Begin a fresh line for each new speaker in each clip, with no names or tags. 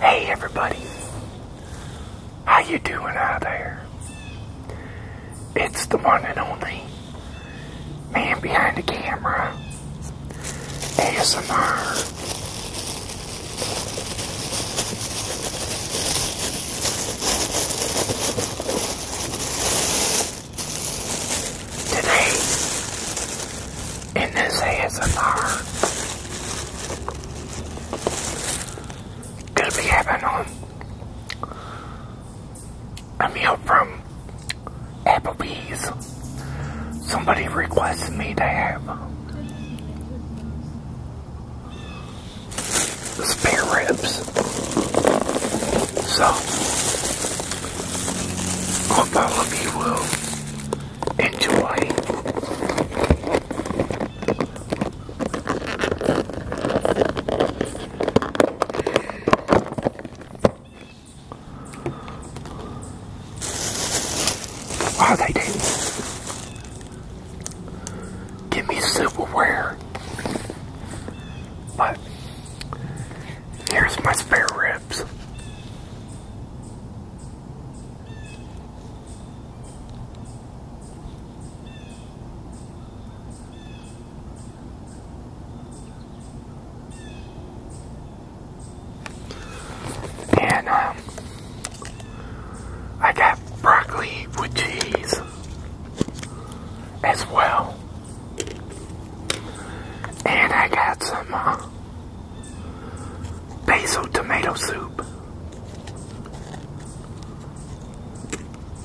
Hey everybody, how you doing out there?
It's the one and only man behind the camera. ASMR. Today, in this ASMR, gonna be having on a meal from Applebee's. Somebody requested me to have spare ribs. So, hope all of you will enjoy Oh, they do. Give me silverware. But here's my spare ribs. And um, I got broccoli with cheese as well. And I got some uh, basil tomato soup.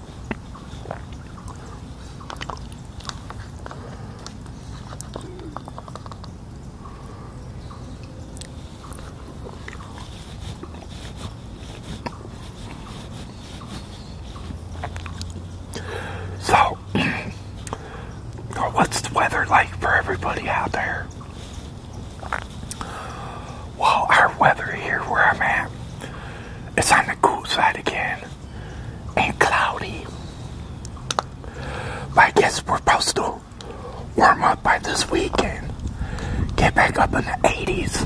So, what's the weather like for everybody out there? Well, our weather here where I'm at, it's on the cool side again and cloudy. I guess we're supposed to warm up by this weekend. Get back up in the 80s.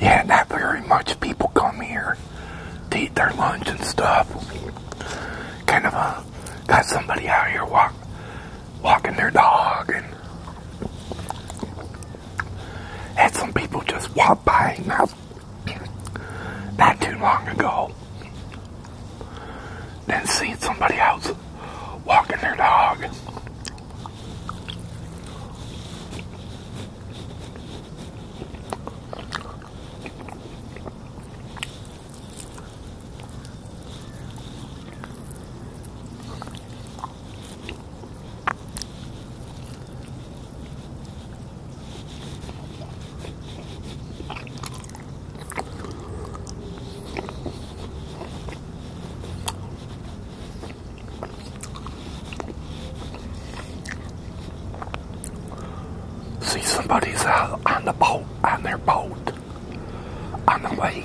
Yeah, not very much people come here to eat their lunch and stuff. Kind of a got somebody out here walk walking their dog and had some people just walk by now. not too long ago than seeing somebody else walking their dog. See, somebody's out on the boat, on their boat, on the lake.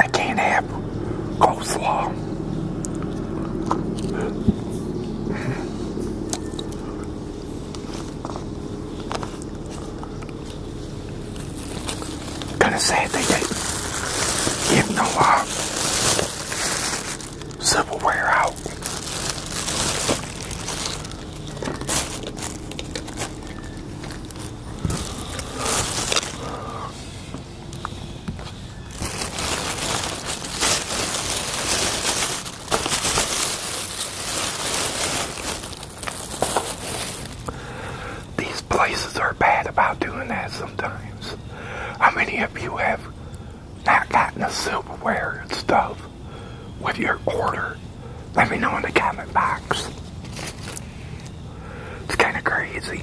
I can't have Go slow. Kind of sad they didn't give no uh, out. These places are bad about doing that sometimes. How many of you have not gotten the silverware and stuff with your order? Let me know in the comment box. It's kind of crazy.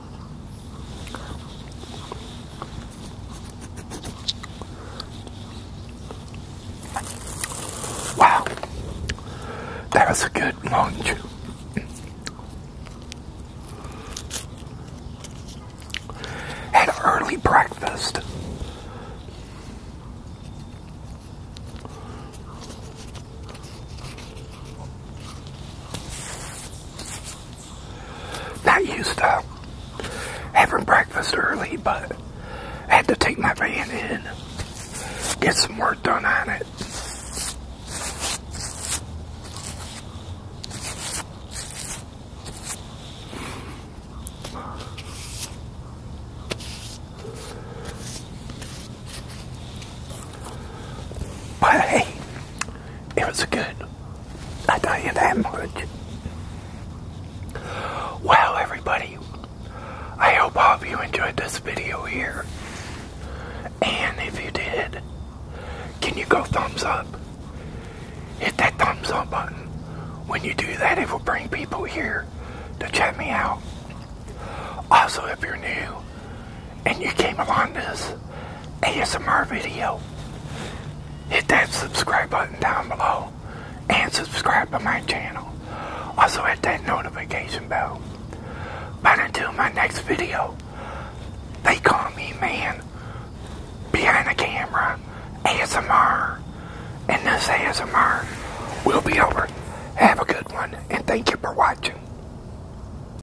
Wow, that was a good long chew. Had early breakfast. Not used to having breakfast early, but I had to take my van in, get some work done on it. hey, it was good. I tell you that much. Well, everybody, I hope all of you enjoyed this video here. And if you did, can you go thumbs up? Hit that thumbs up button. When you do that, it will bring people here to check me out. Also, if you're new, and you came along this ASMR video, hit that subscribe button down below and subscribe to my channel. Also hit that notification bell. But until my next video, they call me man behind the camera ASMR. And this ASMR will be over. Have a good one and thank you for watching.